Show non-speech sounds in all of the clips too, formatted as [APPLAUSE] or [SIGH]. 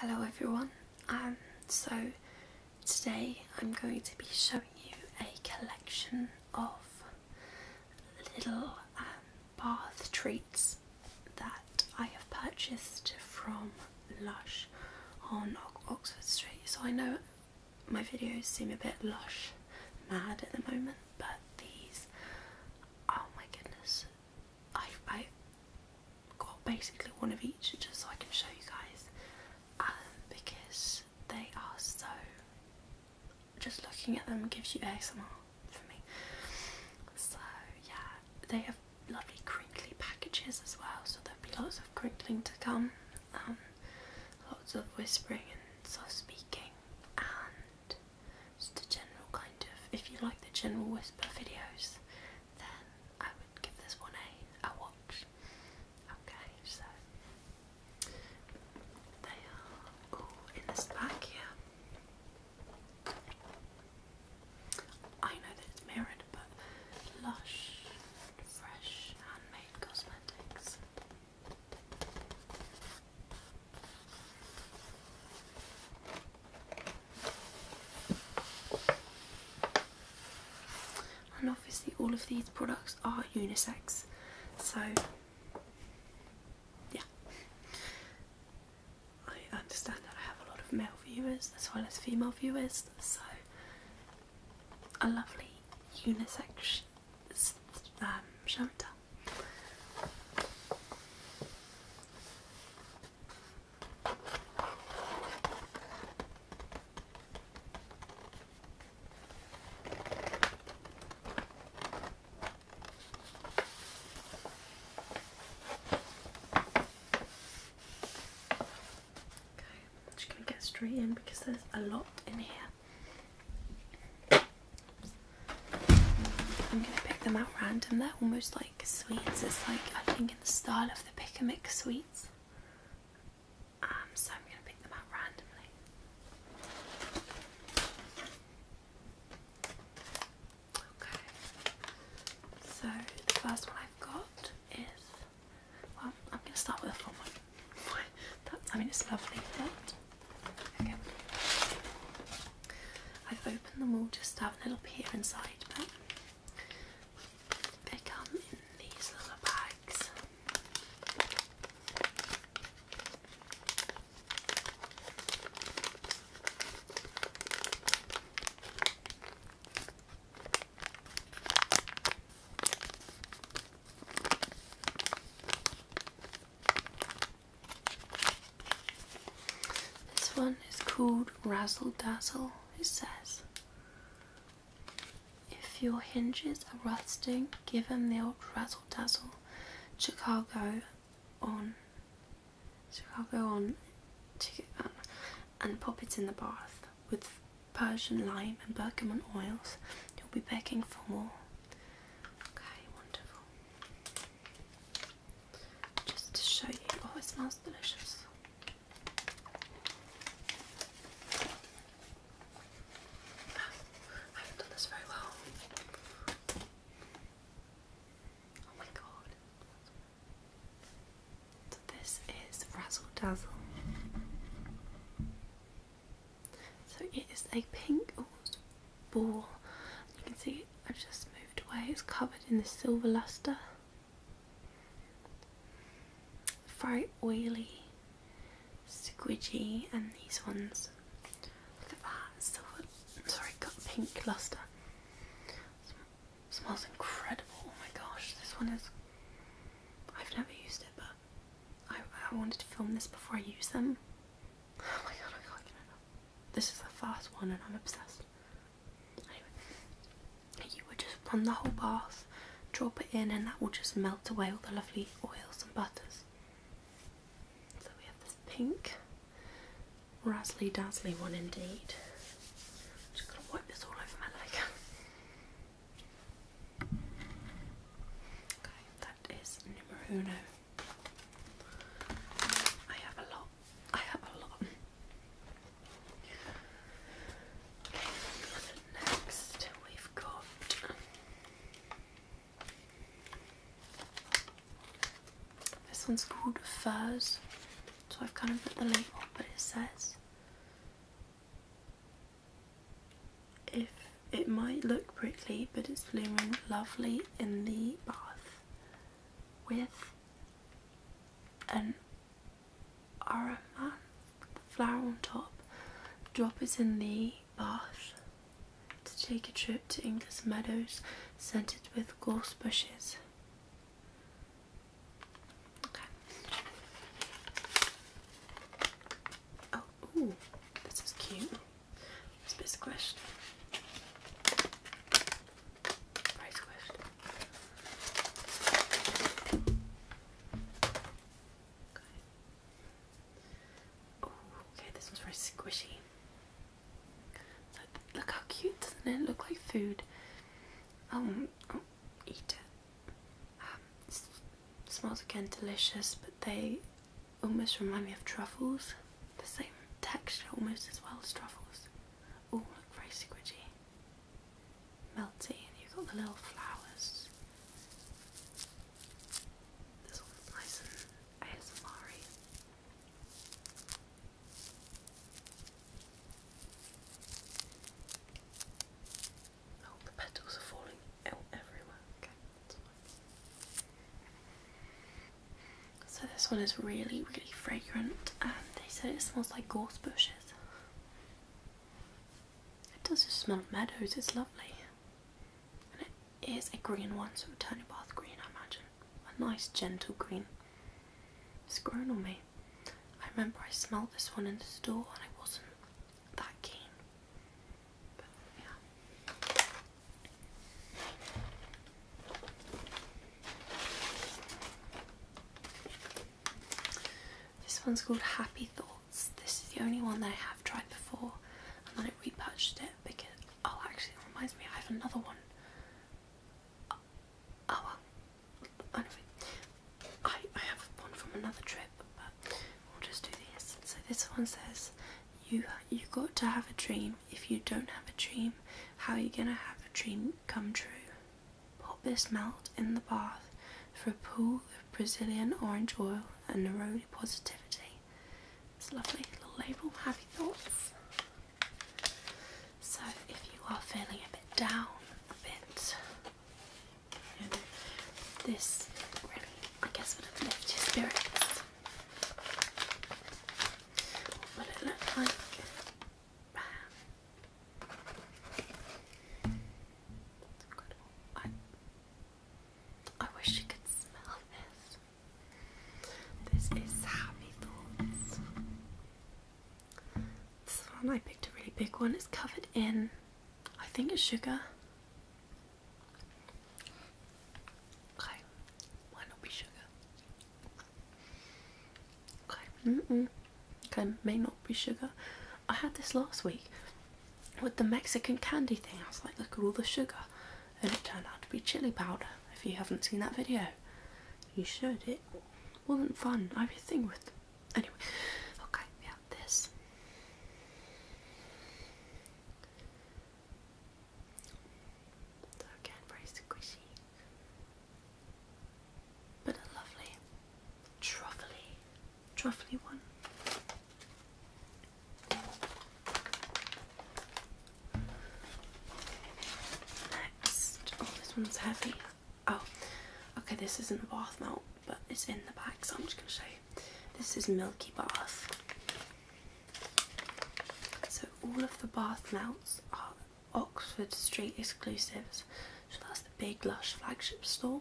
Hello everyone, um, so today I'm going to be showing you a collection of little um, bath treats that I have purchased from Lush on Oxford Street. So I know my videos seem a bit Lush mad at the moment, but these, oh my goodness, I, I got basically one of each just so I can show you guys um, because they are so just looking at them gives you ASMR for me so yeah they have lovely crinkly packages as well so there'll be lots of crinkling to come um, lots of whispering and soft speaking and just a general kind of if you like the general whisper videos then I would give this one a, a watch. Okay, so they are all in this bag here. I know that it's mirrored, but lush, fresh, handmade cosmetics. And obviously all of these products are unisex, so yeah. I understand that I have a lot of male viewers as well as female viewers, so a lovely unisex um, shunter. I'm just going to get straight in because there's a lot in here. I'm going to pick them out random. They're almost like sweets. It's like I think the style of the pick a mix sweets. Um, so I'm going to pick them out randomly. Okay. So the first one I've got is well, I'm going to start with the fun one. [LAUGHS] That's, I mean, it's lovely, but I've opened them all just to have a little peek inside, they come in these little bags. This one is called razzle dazzle, he says. If your hinges are rusting, give them the old razzle dazzle. Chicago on. Chicago on. Um, and pop it in the bath with Persian lime and bergamot oils. You'll be begging for more. Okay, wonderful just to show you. Oh, it smells delicious. I haven't done this very well. Oh my god. So, this is Razzle Dazzle. So, it is a pink ball. You can see I've just moved away, it's covered in the silver luster very oily, squidgy, and these ones. Look at that, silver. Sorry, got pink luster. Smells incredible. Oh my gosh, this one is. I've never used it, but I, wanted to film this before I use them. [LAUGHS] Oh my god, This is the first one, and I'm obsessed you would just run the whole bath, drop it in, and that will just melt away all the lovely oils and butters. So we have this pink, razzly dazzly one indeed. just gonna wipe this all over my leg. [LAUGHS] Okay, that is numero uno. I have a lot Next, we've got. This one's called Furs, so I've kind of put the label, but it says if it might look prickly, but it's blooming lovely in the bath with an aromat, flower on top. Drop it in the bath to take a trip to English meadows scented with gorse bushes. Okay. Oh, ooh, this is cute. It's Oh, okay, this one's very squishy. Look, how cute, doesn't it? Look like food. Um, oh, eat it. Um, smells again delicious, but they almost remind me of truffles. The same texture almost as well as truffles. Oh, look very squishy melty and you've got the little flowers. This one's nice and asmr -y. Oh, the petals are falling out everywhere. So this one is really, really fragrant, they said it smells like gorse bushes. It does just smell of meadows, it's lovely. And it is a green one, so it'll turn your bath green, I imagine. A nice, gentle green. It's grown on me. I remember I smelled this one in the store and it wasn't that keen. But yeah. This one's called Happy Thoughts. This is the only one that I have tried before, and then I repurchased it because oh, actually, it reminds me I have another one. Oh, oh, well, anyway, I I have one from another trip, but we'll just do this. So this one says, "You you got to have a dream. If you don't have a dream, how are you gonna have a dream come true?" Put this melt in the bath for a pool of Brazilian orange oil and neroli positivity. It's lovely little label, happy thoughts. So if you are feeling a bit down, a bit, you know, this really, I guess, would uplift your spirits. What will it look like? [SIGHS] I, wish you could smell this. This is Happy Thoughts. This one I picked a really big one. It's covered in, I think it's sugar. Okay, might not be sugar. Okay, mm -mm. okay, may not be sugar. I had this last week with the Mexican candy thing. I was like, look at all the sugar, and it turned out to be chili powder. If you haven't seen that video, you should. It wasn't fun. I have a thing with. Anyway, okay, we this. So again, very squishy but a lovely truffly, truffly one. Next, oh, this one's heavy. Oh, okay, this isn't a bath melt, but it's in the back, so I'm just going to show you. This is Milky Bath. So, all of the bath melts are Oxford Street exclusives. So that's the big lush flagship store.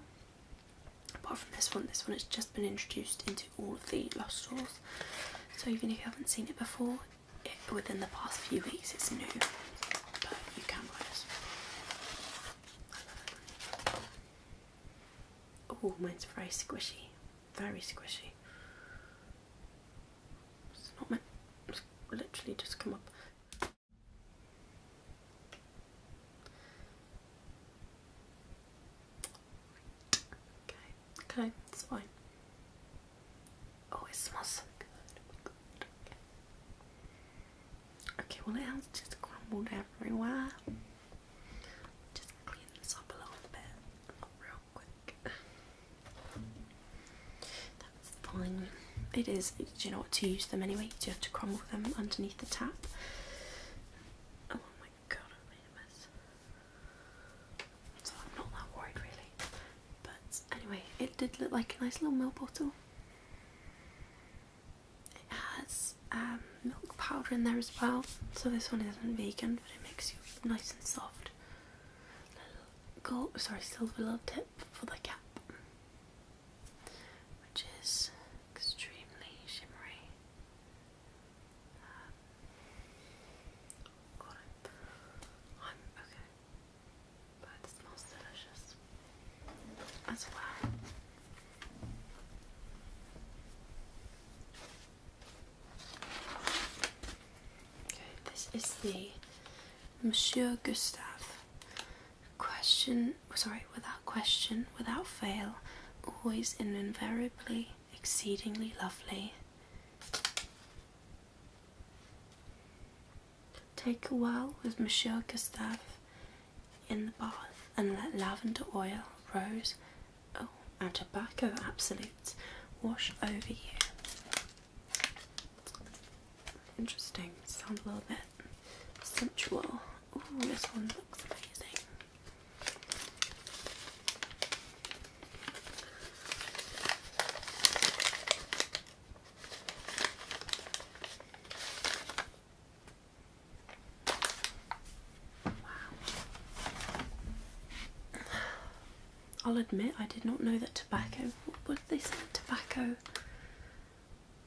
Apart from this one, this one has just been introduced into all of the lush stores. So even if you haven't seen it before, within the past few weeks it's new. But you can buy this. Oh, mine's very squishy. Very squishy. It's not meant. It's literally just come up. Okay, it's fine. Oh, it smells so good. Okay. okay, well, it has just crumbled everywhere. Just clean this up a little bit, real quick. That's fine. It is, do you know what to use them anyway? Do you have to crumble them underneath the tap? Oh my god, I made a mess. So I'm not that worried really. But anyway, it did look like a nice little milk bottle. It has um, milk powder in there as well. So this one isn't vegan, but it makes you nice and soft. gold, sorry, silver little tip for the cap, which is extremely shimmery. Um, I'm okay, but it smells delicious as well. Okay, this is the Monsieur Gustave. Question, oh, sorry, without question, without fail, always and invariably exceedingly lovely. Take a while with Monsieur Gustave in the bath and let lavender oil, rose, oh, and tobacco absolutes wash over you. Interesting. Sounds a little bit sensual. Oh, this one looks amazing. Wow. I'll admit I did not know that tobacco. What, did they say? Tobacco.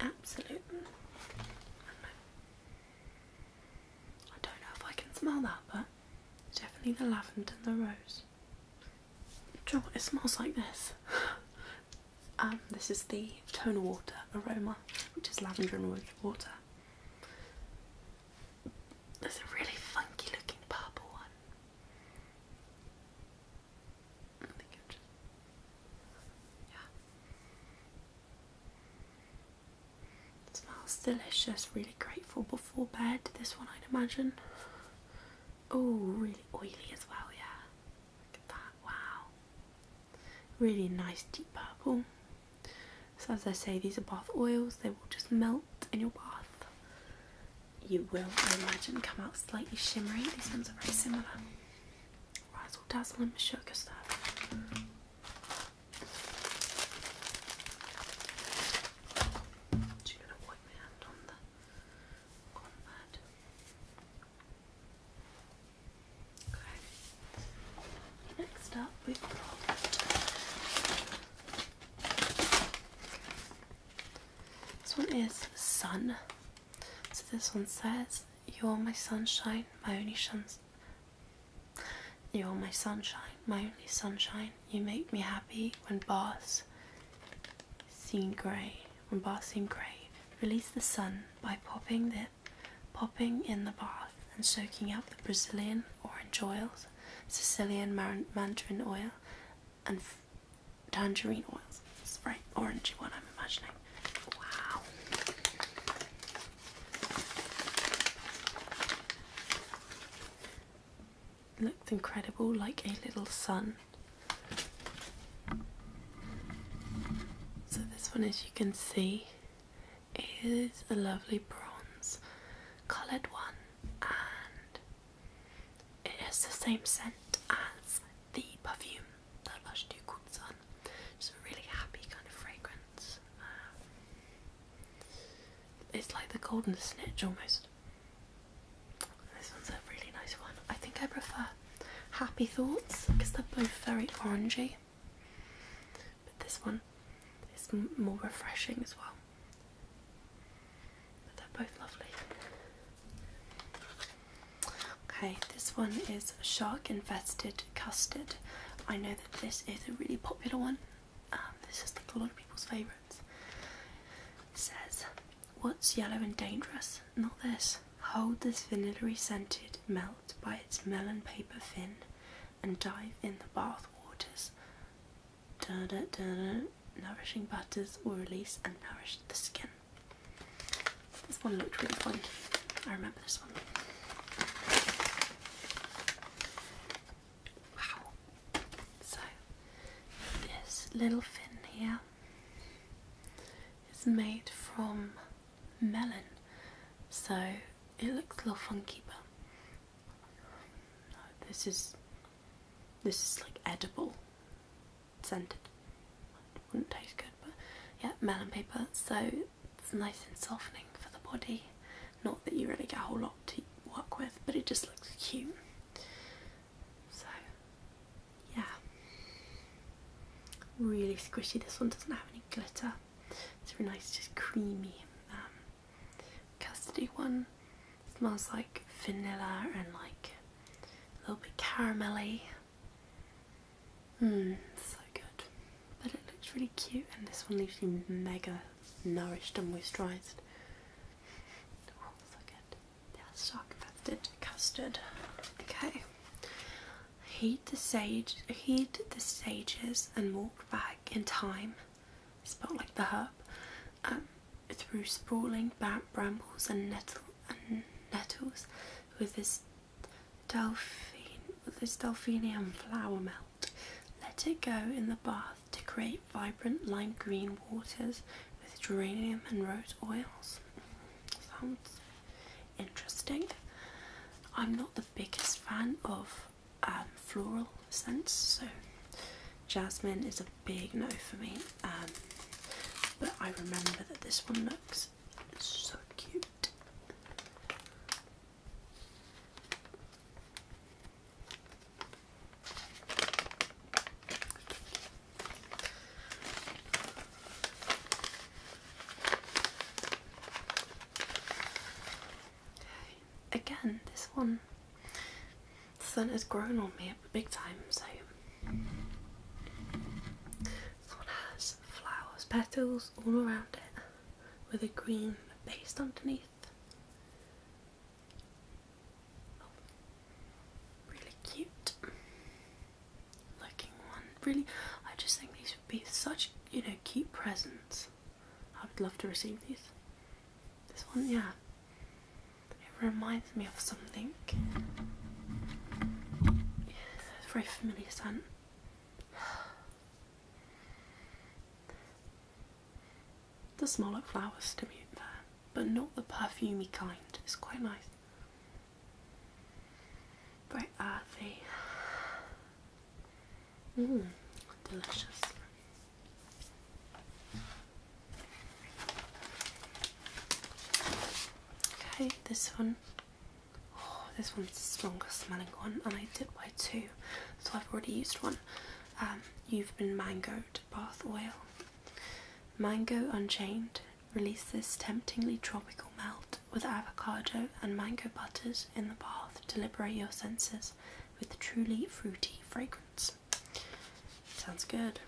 Absolutely. I don't know if I can smell that, but definitely the lavender and the rose. John, it smells like this. [LAUGHS] um, this is the tonal water aroma, which is lavender and water. There's a really funky looking purple one smells delicious, really grateful before bed, this one I'd imagine. Oh, really oily as well, yeah. Look at that, wow. Really nice deep purple. So, as I say, these are bath oils, they will just melt in your bath you will, I imagine, come out slightly shimmery. These ones are very similar. Razzle Dazzle and Sugar stuff. Okay. Next up we've got this one is sun. So this one says, You're my sunshine, my only sunshine. You're my sunshine, my only sunshine. You make me happy when bars seem grey. When bars seem grey, release the sun by popping the, popping in the bath and soaking up the Brazilian orange oils, Sicilian mandarin oil, and tangerine oils. It's orangey one I'm imagining. Wow. looks incredible, like a little sun. So this one, as you can see, is a lovely bronze coloured one and it has the same scent as the perfume that Lush do called Sun. It's a really happy kind of fragrance. Uh, it's like the golden snitch almost. This one's a really nice one. I think I prefer Happy Thoughts because they're both very orangey. But this one is more refreshing as well. But they're both lovely. Okay, this one is shark infested custard. I know that this is a really popular one. Um, this is like a lot of people's favourites. Says, what's yellow and dangerous? Not this. Hold this vanilla scented melt by its melon paper fin and dive in the bath waters. Da -da -da nourishing butters will release and nourish the skin. This one looked really funky. I remember this one. Wow. So this little fin here is made from melon. So it looks a little funky but this is this is like edible scented. wouldn't taste good, but yeah, melon paper. So it's nice and softening for the body. Not that you really get a whole lot to work with, but it just looks cute. So yeah, really squishy. This one doesn't have any glitter. It's really nice, just creamy um, custardy one. smells like vanilla and like a little bit caramelly. Mmm, so good. But it looks really cute, and this one leaves you mega nourished and moisturised. Oh, so good. That's yeah, dark fermented custard. Okay. Heat the sage, heat the sages, and walk back in time. Spelled like the herb. Um, through sprawling brambles and, nettles with this delphinium flower melt. Let it go in the bath to create vibrant lime green waters with geranium and rose oils. Sounds interesting. I'm not the biggest fan of um, floral scents, Jasmine is a big no for me, um, but I remember that this one looks so cute. Again, this one the sun has grown on me big time, so this one has flowers, petals all around it with a green base underneath. Oh, really cute looking one. Really, I just think these would be such, you know, cute presents. I would love to receive these. This one, yeah, it reminds me of something. it's a very familiar scent. The does flowers to me there, but not the perfumey kind. It's quite nice. Very earthy. Mmm, delicious. Okay, this one. Oh, this one's the strongest smelling one, and I did buy two, so I've already used one. Um, you've been mango bath oil. Mango Unchained releases temptingly tropical melt with avocado and mango butters in the bath to liberate your senses with truly fruity fragrance. Sounds good.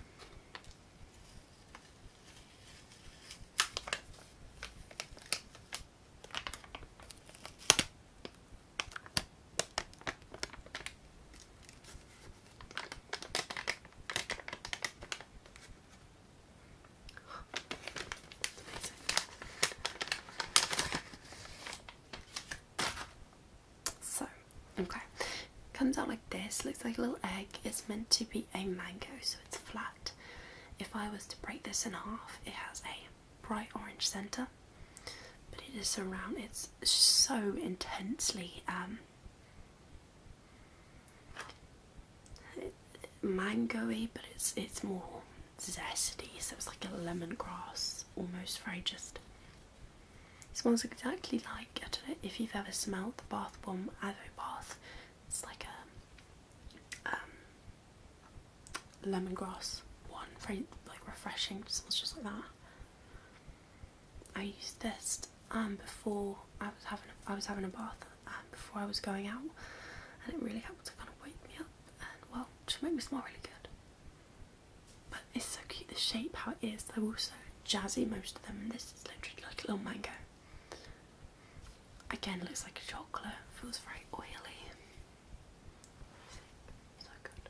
So, okay, comes out like this. Looks like a little egg. It's meant to be a mango, so it's flat. If I was to break this in half, it has a bright orange center, but it is around. It's so intensely um, mangoey, but it's it's more zesty. So it's like a lemongrass, almost very just smells exactly like, I don't know if you've ever smelled the bath bomb aloe bath. It's like a um, lemongrass one, very like refreshing, it smells just like that. I used this um, before I was having a, I was having a bath um, before I was going out and it really helped to kind of wake me up and well just make me smell really good it's so cute the shape how it is they're also jazzy most of them this is literally like a little mango again looks like a chocolate feels very oily so good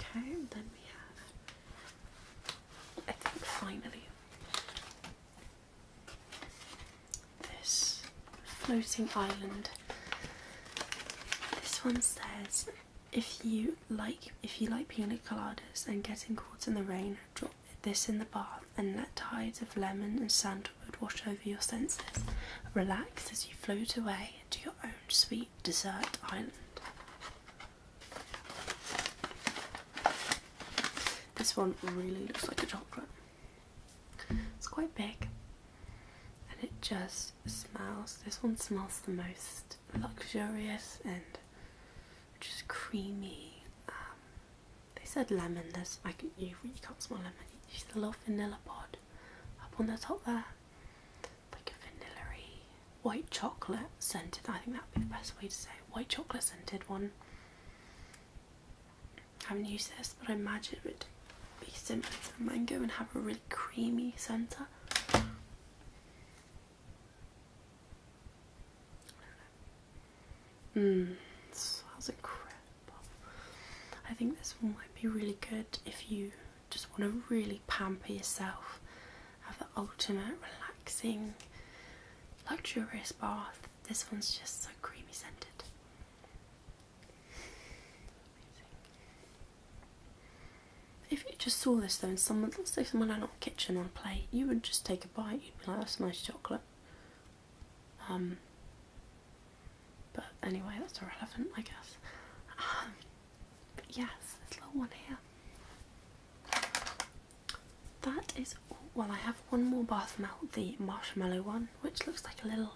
okay then we have I think finally this floating island this one says if you like if you like pina coladas and getting caught in the rain, drop this in the bath and let tides of lemon and sandalwood wash over your senses. Relax as you float away to your own sweet dessert island. This one really looks like a chocolate. It's quite big and it just smells. This one smells the most luxurious and just creamy. Um, they said lemon. There's you can't smell lemon. You see the little vanilla pod up on the top there, like a vanilla white chocolate scented. I think that would be the best way to say white chocolate scented one. I haven't used this, but I imagine it would be similar to the mango and have a really creamy centre. I hmm, do incredible. I think this one might be really good if you just want to really pamper yourself, have the ultimate relaxing, luxurious bath. This one's just so creamy scented. If you just saw this though, and someone, let's say someone out of kitchen on a plate, you would just take a bite. You'd be like, "That's nice chocolate." Um. But anyway, that's irrelevant, I guess. Um, but yes, this little one here. That is Well, I have one more bath melt, the marshmallow one, which looks like a little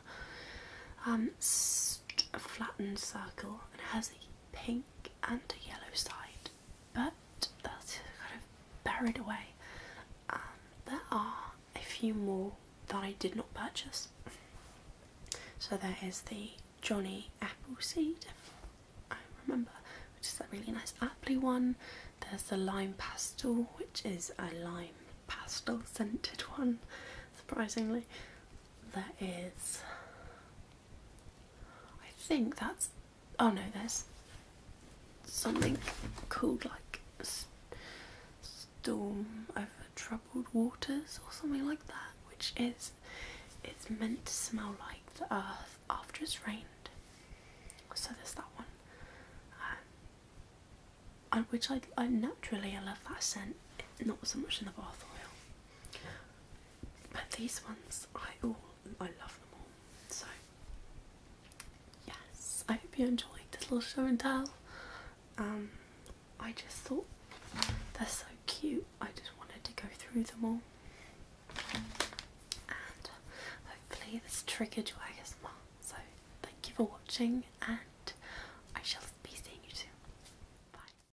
um, flattened circle and has a pink and a yellow side, but that's kind of buried away. Um, there are a few more that I did not purchase. So there is the Johnny Appleseed, I remember, which is that really nice appley one. There's the Lime Pastel, which is a lime pastel scented [LAUGHS] one, surprisingly. There is I think that's. Oh no, there's something called like Storm Over Troubled Waters or something like that, which is. It's meant to smell like the earth after it's rained. So there's that one. Um, which I, I naturally I love that scent, not so much in the bath oil. But these ones, I all I love them all. So yes, I hope you enjoyed this little show and tell. Um, I just thought they're so cute. I just wanted to go through them all, and hopefully this triggered you. your ASMR. So thank you for watching, and I shall be seeing you soon. Bye.